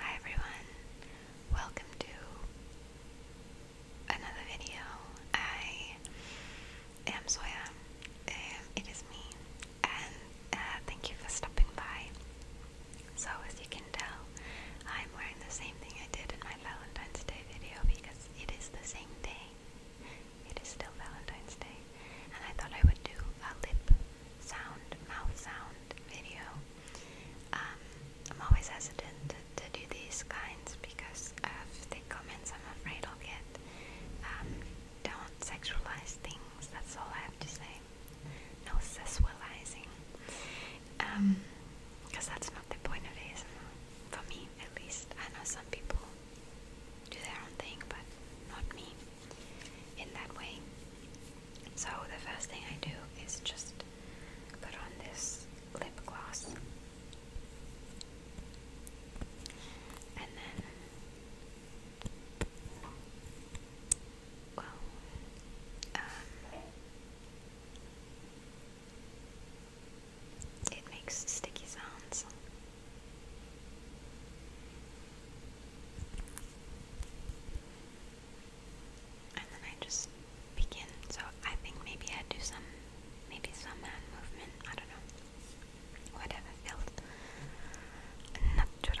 Hi everyone, welcome to another video. I am Soya, um, it is me, and uh, thank you for stopping by. So, as you can tell, I'm wearing the same thing I did in my Valentine's Day video because it is the same day. It is still Valentine's Day and I thought I would do a lip sound, mouth sound video. Um, I'm always hesitant to, do these kinds because of the comments I'm afraid I'll get. Um, don't sexualize things, that's all I have to say. No sexualizing. Um, because that's not the point of ASMR. For me, at least. I know some people do their own thing, but not me in that way. So the first thing I do is just put on this lip gloss. And then well, um, it makes sticky sounds. And then I just begin. So I think maybe I do some, maybe some hand movement. I don't know. Whatever feels natural.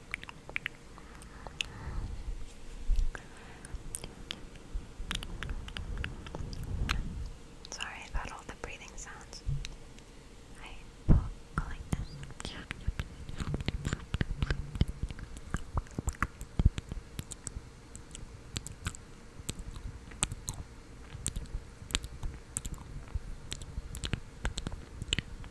Sorry about all the breathing sounds. I will go this.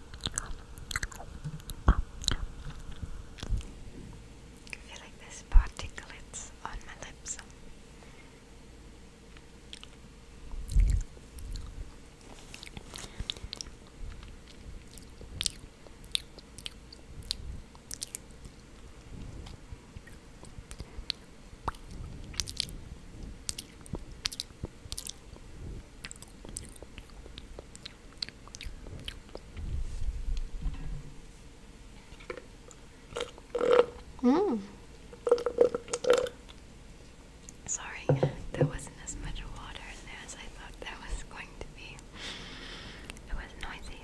I feel like there's particulates on my lips. Mm. Sorry, there wasn't as much water in there as I thought there was going to be. It was noisy.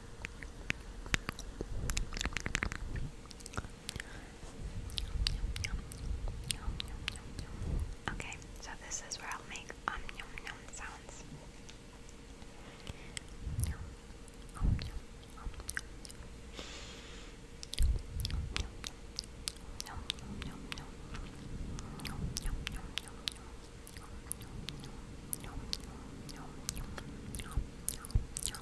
Okay, so this is where I'll make um yum yum sounds.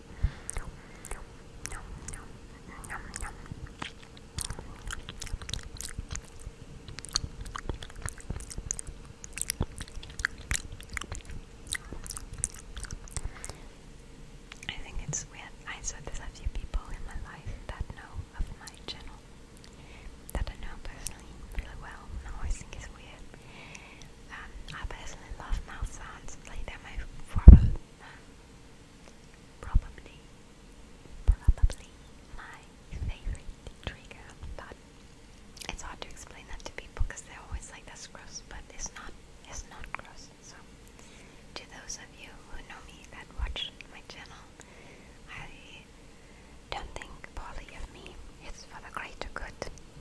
I think it's weird. I said there's a few people in my life that know of my channel that I know personally really well. And I always think it's weird. Um, I personally love mouth sounds. Like they my favorite probably, probably my favorite trigger, it's hard to explain that to people because they always like, that's gross, but it's not, it's not gross, so to those of you who know me that watch my channel, I don't think poorly of me, it's for the greater good,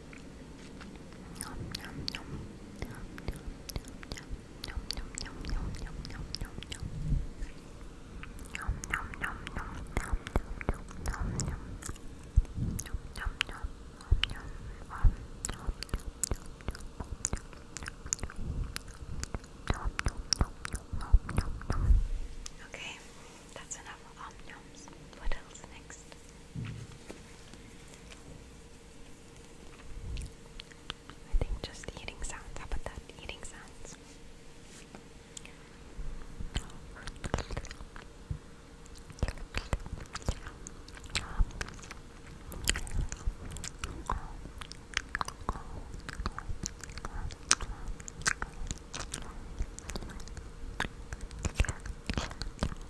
Nom nom Okay, that's enough What else next? I think just eating sounds. How about that? Eating sounds.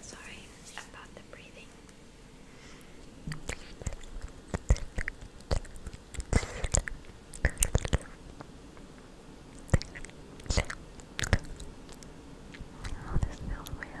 Sorry about the breathing. Oh, this feels weird.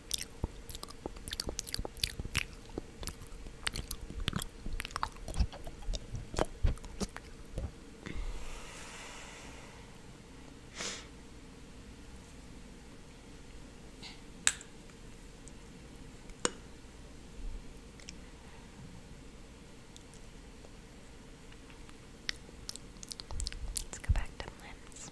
Let's go back to limbs.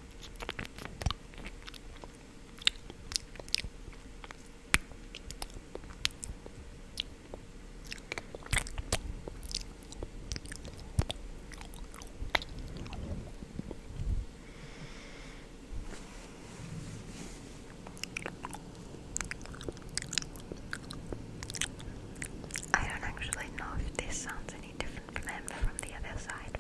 I don't actually know if this sounds any different from them from the other side.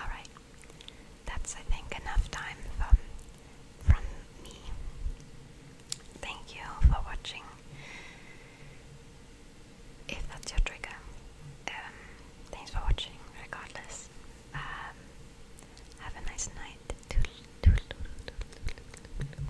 Alright, that's I think enough time from, from me. Thank you for watching. If that's your trigger, um, thanks for watching regardless. Um, have a nice night.